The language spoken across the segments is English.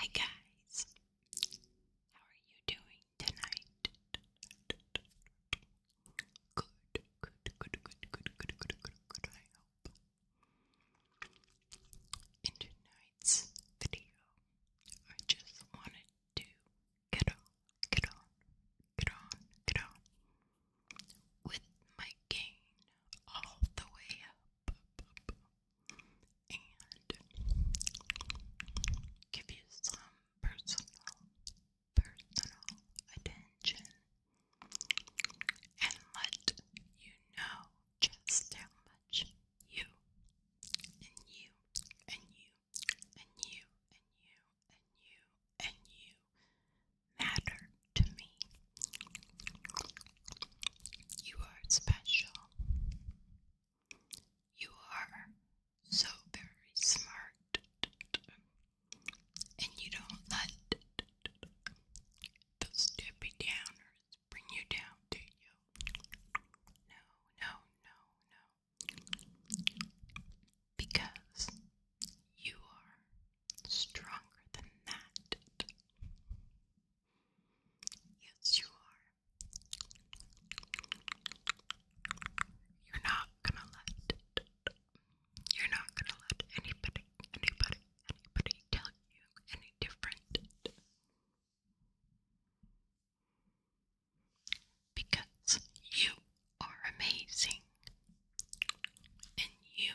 Hi guys, how are you doing tonight? Good, good, good, good, good, good, good, good, good, I hope. In tonight's video, I just wanted to get on, get on, get on, get on with my gain all the way up. up and give you some personal, personal attention and let you know just how much you and you and you and you and you and you and you matter to me. You are special. You are so very smart. And you don't let those tippy downers bring you down, do you? No, no, no, no. Because you are stronger than that. Yes, you are. You're not gonna let you're not gonna let anybody, anybody, anybody tell you any different. Because you are amazing and you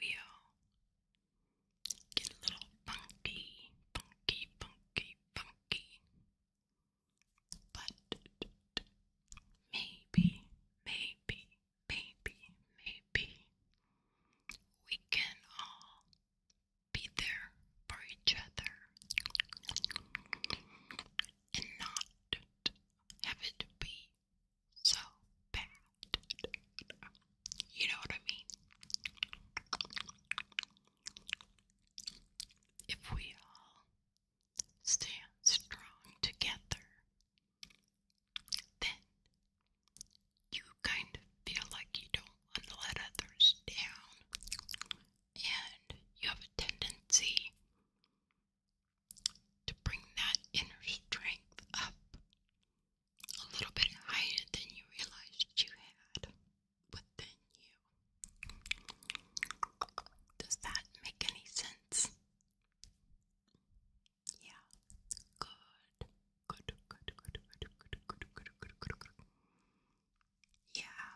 we all get a little funky, funky, funky, funky. But maybe, maybe, maybe, maybe we can all be there for each other and not have it be so bad. You know what I mean? If we all stand strong together, then you kind of feel like you don't want to let others down, and you have a tendency to bring that inner strength up a little bit higher than you realized you had within you. Does that make any sense? Yeah. Good. Good, good, good, good, good, good, good, good, good, Yeah.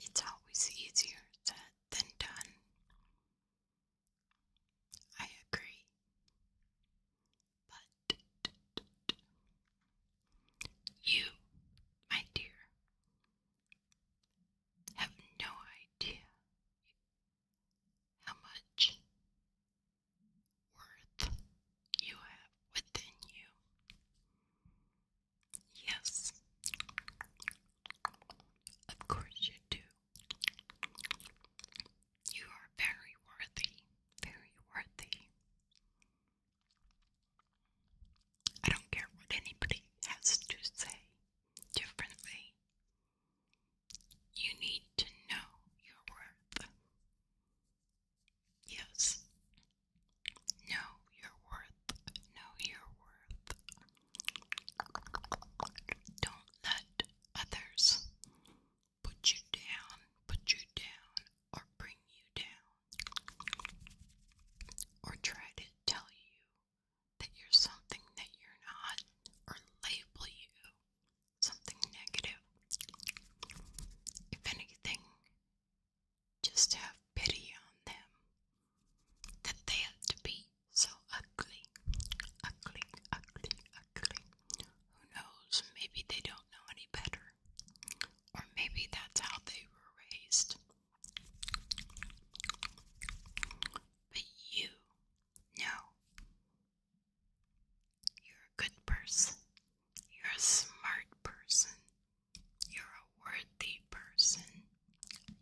It's always easier to said done. I agree. But you, my dear, have no idea how much worth you have within you. Yes. Of course you do. You are very worthy, very worthy. I don't care what anybody has to say differently. You need to know your worth. Yes, Know your worth. Know your worth. Don't let others put you down, put you down, or bring you down, or try to tell you that you're something that you're not, or label you something negative. If anything, just have pity on them that they had to be so ugly, ugly, ugly, ugly. Who knows? Maybe they don't know any better, or maybe that's how they were raised. But you know, you're a good person, you're a smart person. You're a worthy person.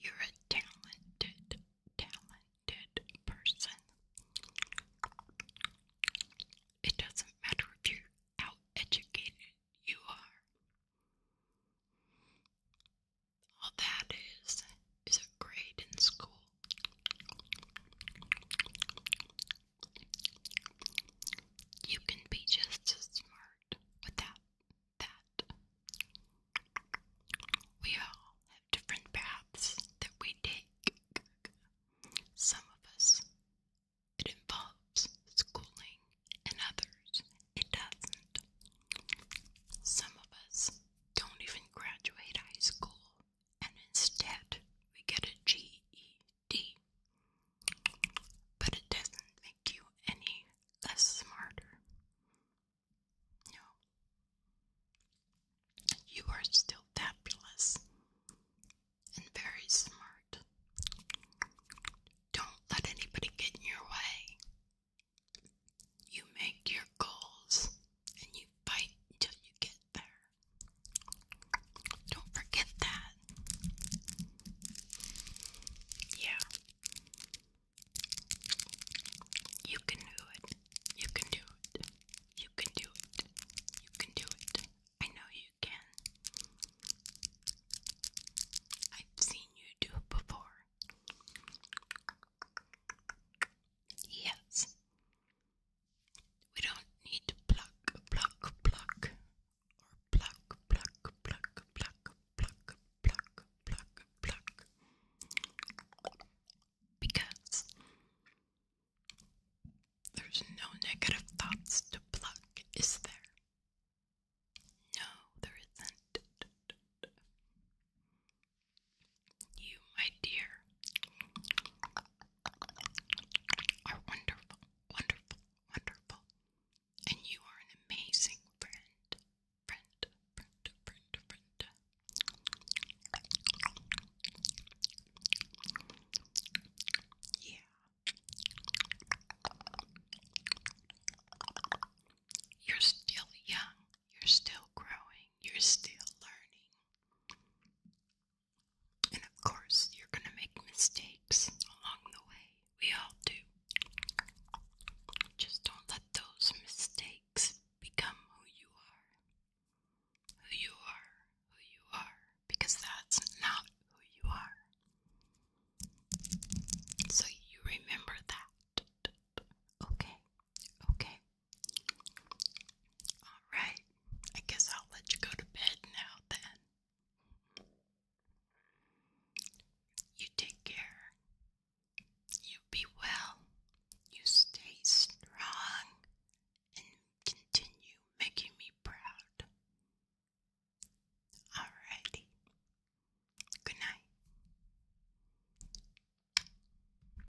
You're a talented, talented person. It doesn't matter if you how educated you are. All that is is a grade in school. You can be just as smart without that. We all have different paths that we take. Some of us, it involves schooling, and others, it doesn't. Some of us don't even graduate high school, and instead, we get a GED D. But it doesn't make you any less smarter. No. You are still fabulous and very smart. Don't let anybody get in your way. You make your goals and you fight until you get there. Don't forget that. Yeah. You can do it. You can do it. You can do it. You can do it. I know you can. I've seen you do it before. Yes. We don't need to pluck, pluck, pluck, or pluck, pluck, pluck, pluck, pluck, pluck, pluck, pluck, because there's no negative thoughts to pluck, is there? No, there isn't. You, my dear, are wonderful, wonderful, wonderful. And you are an amazing friend. Friend, friend, friend, friend. Yeah. You're still young. You're still growing. You're still learning. And of course, you're going to make mistakes along the way. We all do. Just don't let those mistakes become who you are. Who you are, who you are, because that's not who you are. So you remember that. Okay, okay, all right, I guess I'll let you go to bed now then. You take care. You be well. You stay strong and continue making me proud. Alrighty. Good night.